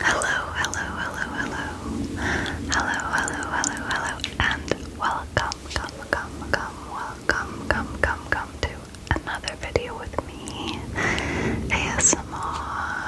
Hello, hello, hello, hello. Hello, hello, hello, hello, and welcome, come, come, come, welcome, come, come, come to another video with me. ASMR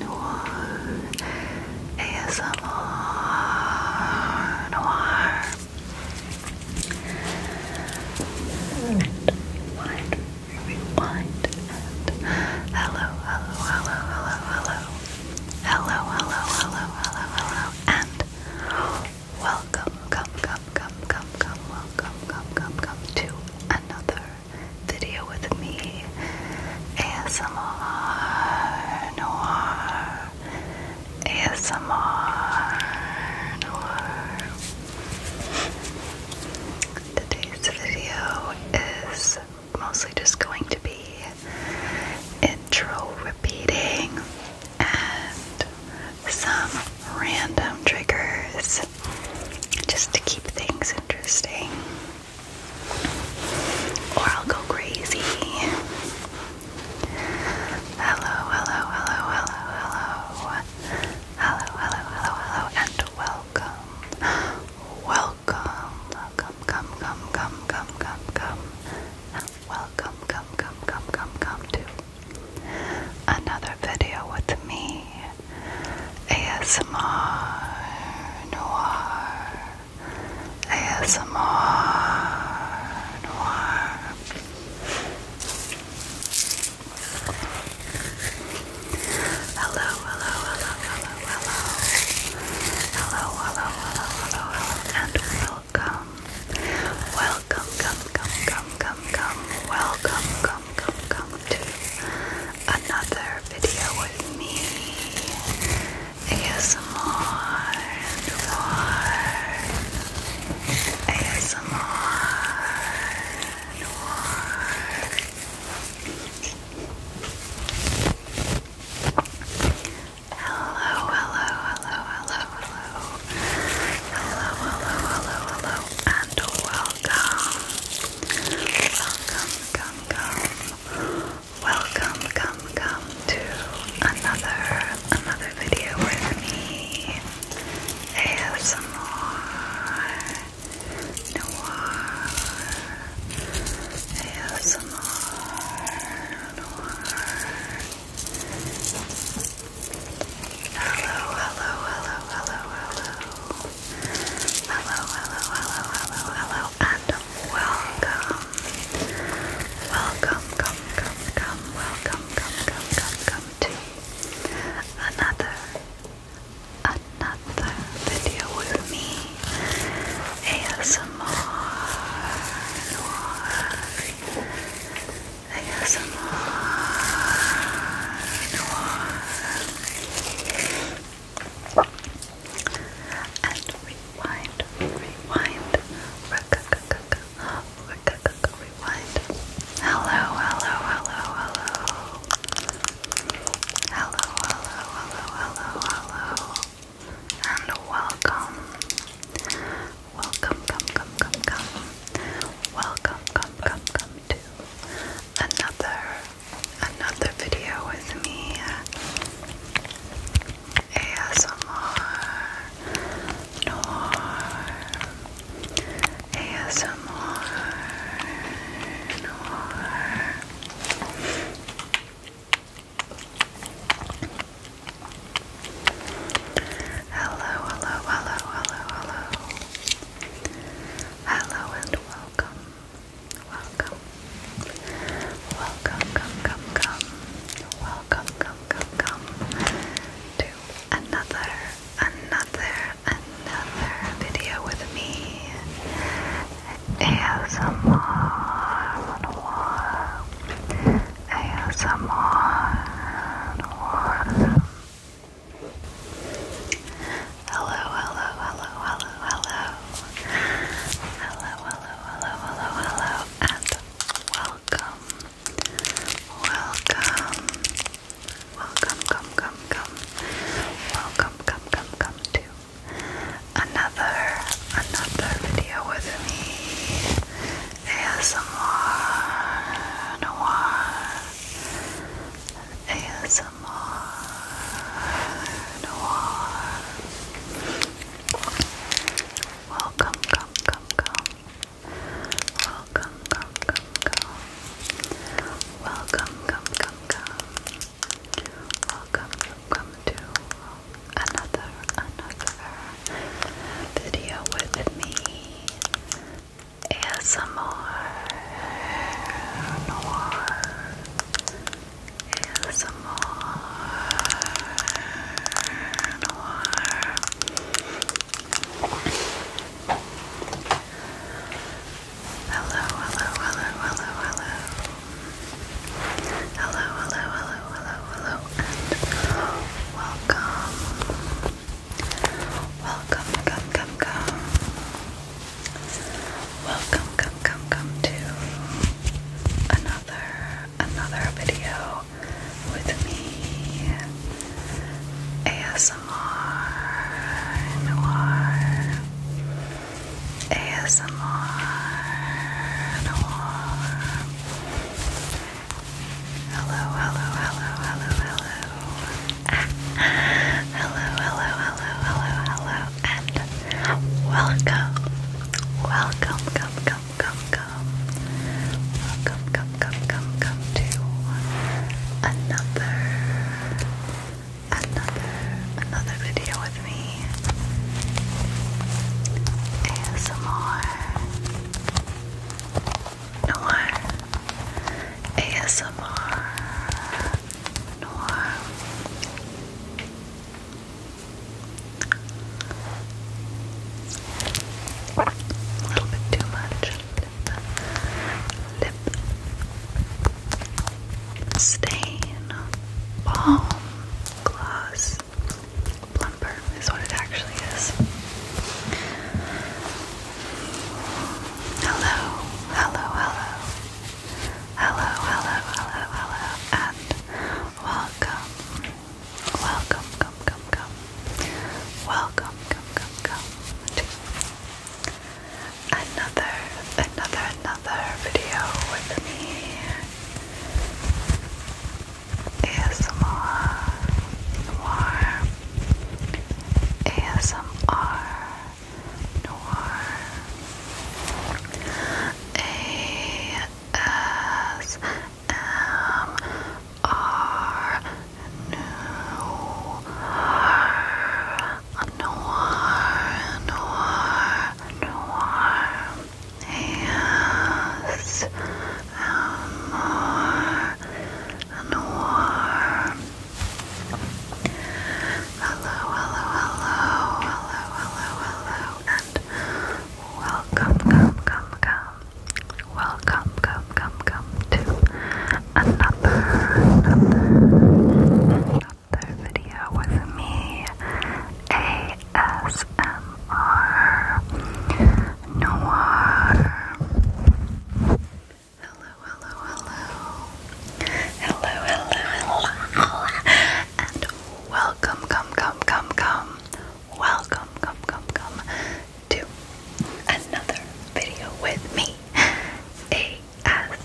Noir. ASMR Noir. Rewind, rewind, rewind, and hello, hello, hello, hello, hello, hello, hello, hello, hello, hello, and welcome, come, come, come, come, come, welcome, come, come, come to another video with me, ASMR Noir, ASMR Noir. Today's video is mostly just going to be intro repeating and some random triggers just to keep things interesting. Or I'll go crazy. Hello, hello, hello, hello, hello. Hello, hello, hello, hello, and welcome. Welcome. Come, come, come, come, come, come, come. Welcome, come, come, come, come, come to another video with me. ASMR Noir. ASMR Noir. Hello, hello, hello, hello, hello. Hello, hello, hello, hello, hello, and welcome. Welcome, come, come, come, come, come. Welcome, come, come, come to another video with me. ASMR and Hello, hello, hello, hello, hello. Hello, hello, hello, hello, and welcome. Welcome, come, come. Welcome, come, come to another another video with me. ASMR Noir ASMR Noir Hello, hello, hello, hello, hello. Hello, hello, hello, hello, hello, and welcome. Welcome, come, come, come, welcome, come, come, come, come to another another video with me ASMR ASMR and rewind rewind Oh, rewind. Hello, hello, hello, hello. Hello, hello, hello, hello, hello. And welcome. Welcome, come, come, come, come. Welcome, come, come, come to another another video with me. ASMR Noir ASMR Noir Hello, hello, hello, hello, hello. Hello and welcome. Welcome. Welcome, come, come, come. Welcome, come, come, to another, another, another video with me. ASMR, oh oh Hello, hello, hello, hello, hello. Hello, hello, hello, hello, hello, and welcome Welcome. Welcome, come, come, come. Welcome, come, come, come to another, another video with me. ASMR Noir. ASMR Noir. Welcome, come, come, come. Welcome, come, come, come. Welcome, come, come, come. Welcome, come, to another, another video with me. ASMR Noir. ASMR Noir. Hello, hello, hello, hello, hello. Hello, hello, hello, hello, hello, and welcome. Welcome, come, come, come. Welcome, come, come, come to another another video with me ASMR Noir ASMR Noir Hello, hello, hello, hello, hello. Hello, hello, hello, hello, hello, and welcome. Welcome, come, come, come, come. Welcome, come, come, come, come to another, another, another video with me. ASMR. Noir. ASMR. Noir. A little bit too much. Lip, stain, balm, gloss, plumper is what it actually is. Hello, hello, hello, hello, hello, hello, hello, and welcome Welcome, come, come, come. Welcome, come, come, come. To another, another, another video with me. ASMR, noir, ASMR, noir, ASMR. M R Welcome, come, come, come. Welcome, come, come, come to another, another, another video with me, ASMR Noir. Hello, hello, hello. Hello, hello, hello. And welcome, come, come, come, come welcome, come, come, come to another video with me, ASMR,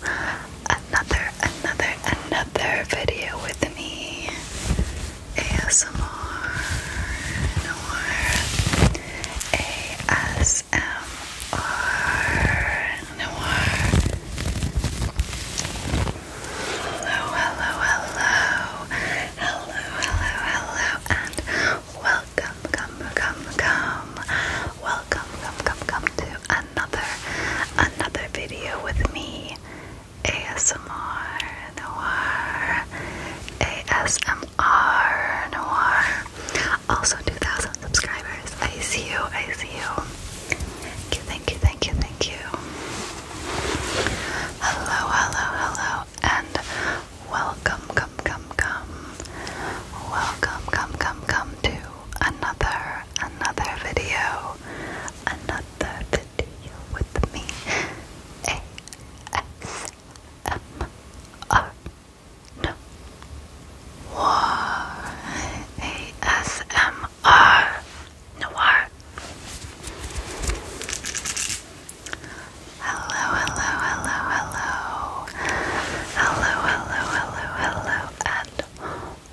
another, another, another video with me. ASMR, ASMR, Hello, hello, hello, hello, hello, hello, and welcome, come, come, come. Welcome, come, come, come to another, another video with me, ASMR Noir, ASMR Noir. Also, 2,000 subscribers. I see you. I see you. Thank you. Thank you. Thank you. Thank you. Hello. Hello. Hello. And welcome. Come. Come. Come. Welcome. Come. Come. Come to another another video, another video with me, ASMR, no, ASMR, noir. Hello, hello, hello, hello, hello, hello, hello, hello, and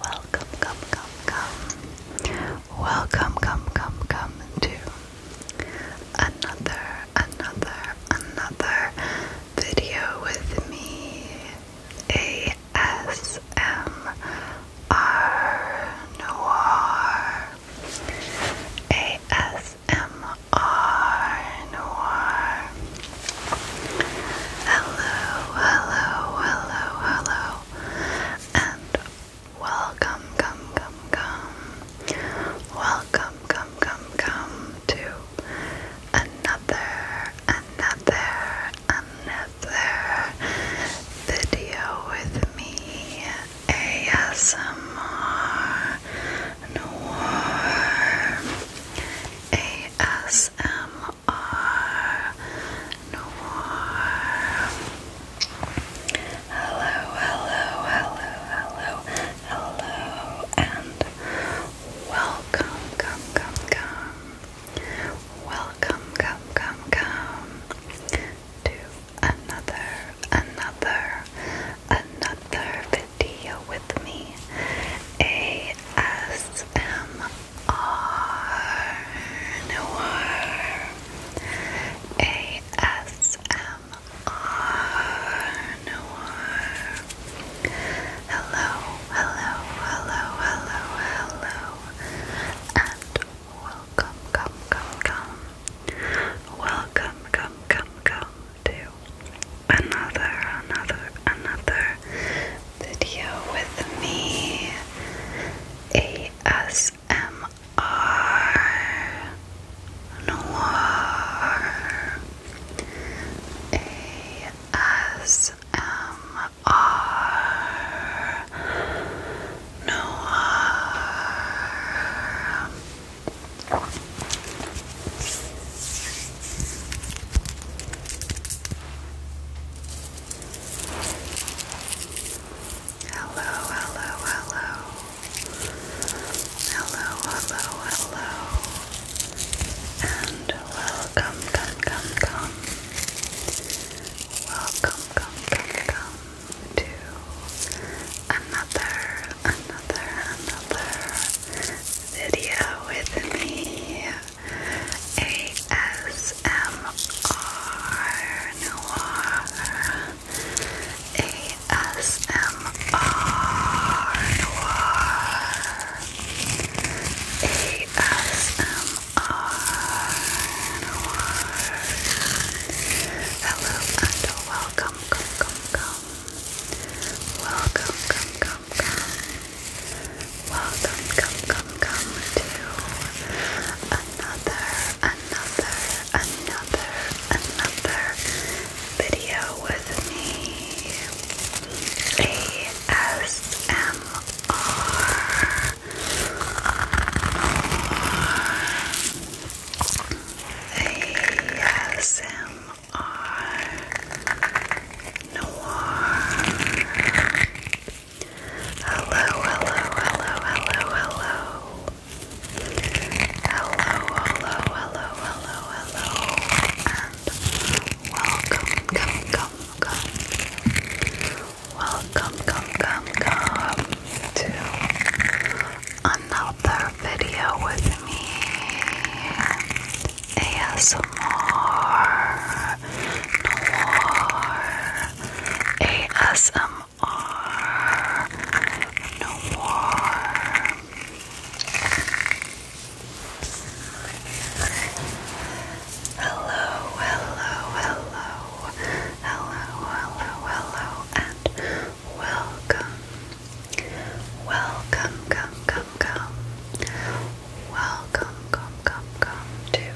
Welcome, come, come, come. Welcome, come, come, come to another, another, another video with me. ASMR Hello, hello, hello, hello, and welcome, come, come, come, welcome, come, come, come to another, another, another video with me, ASMR Noir. ASMR R Noir. Hello, hello, hello, hello, hello, and welcome, come, come, come. Welcome, come, come, come to another, another, another video with me. ASMR. R Noir Hello, hello, hello, hello, hello, and welcome, come, come, come. Welcome, come, come, come to another, another, another video with me. ASMR Noir. ASMR Noir. Hello, hello, hello. Hello, hello, hello. And welcome, come, come, come. Welcome, come, come, to another, another, another video with me. ASMR Noir ASMR Noir ASMR Noir Hello and welcome, come, come, come Welcome, come, come, come Welcome, come, come, come to another, another, another, another video with me. ASMR are Noir. Hello, hello, hello, hello, hello. Hello, hello, hello, hello, hello, and welcome, come, come, come. Welcome, come, come, come to another video with me. ASMR Noir ASMR Noir Hello, hello, hello, hello, hello, hello, and welcome Welcome, come, come, come. Welcome, come, come, come to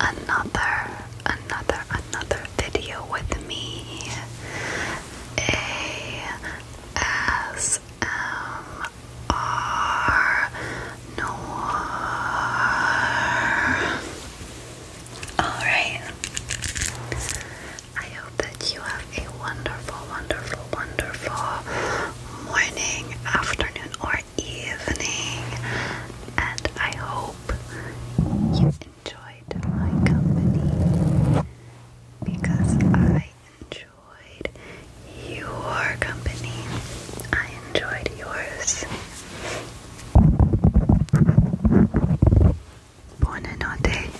another, another, another video with me. ASMR Alright that you have a wonderful, wonderful, wonderful morning, afternoon, or evening. And I hope you enjoyed my company because I enjoyed your company. I enjoyed yours. Buonanotte.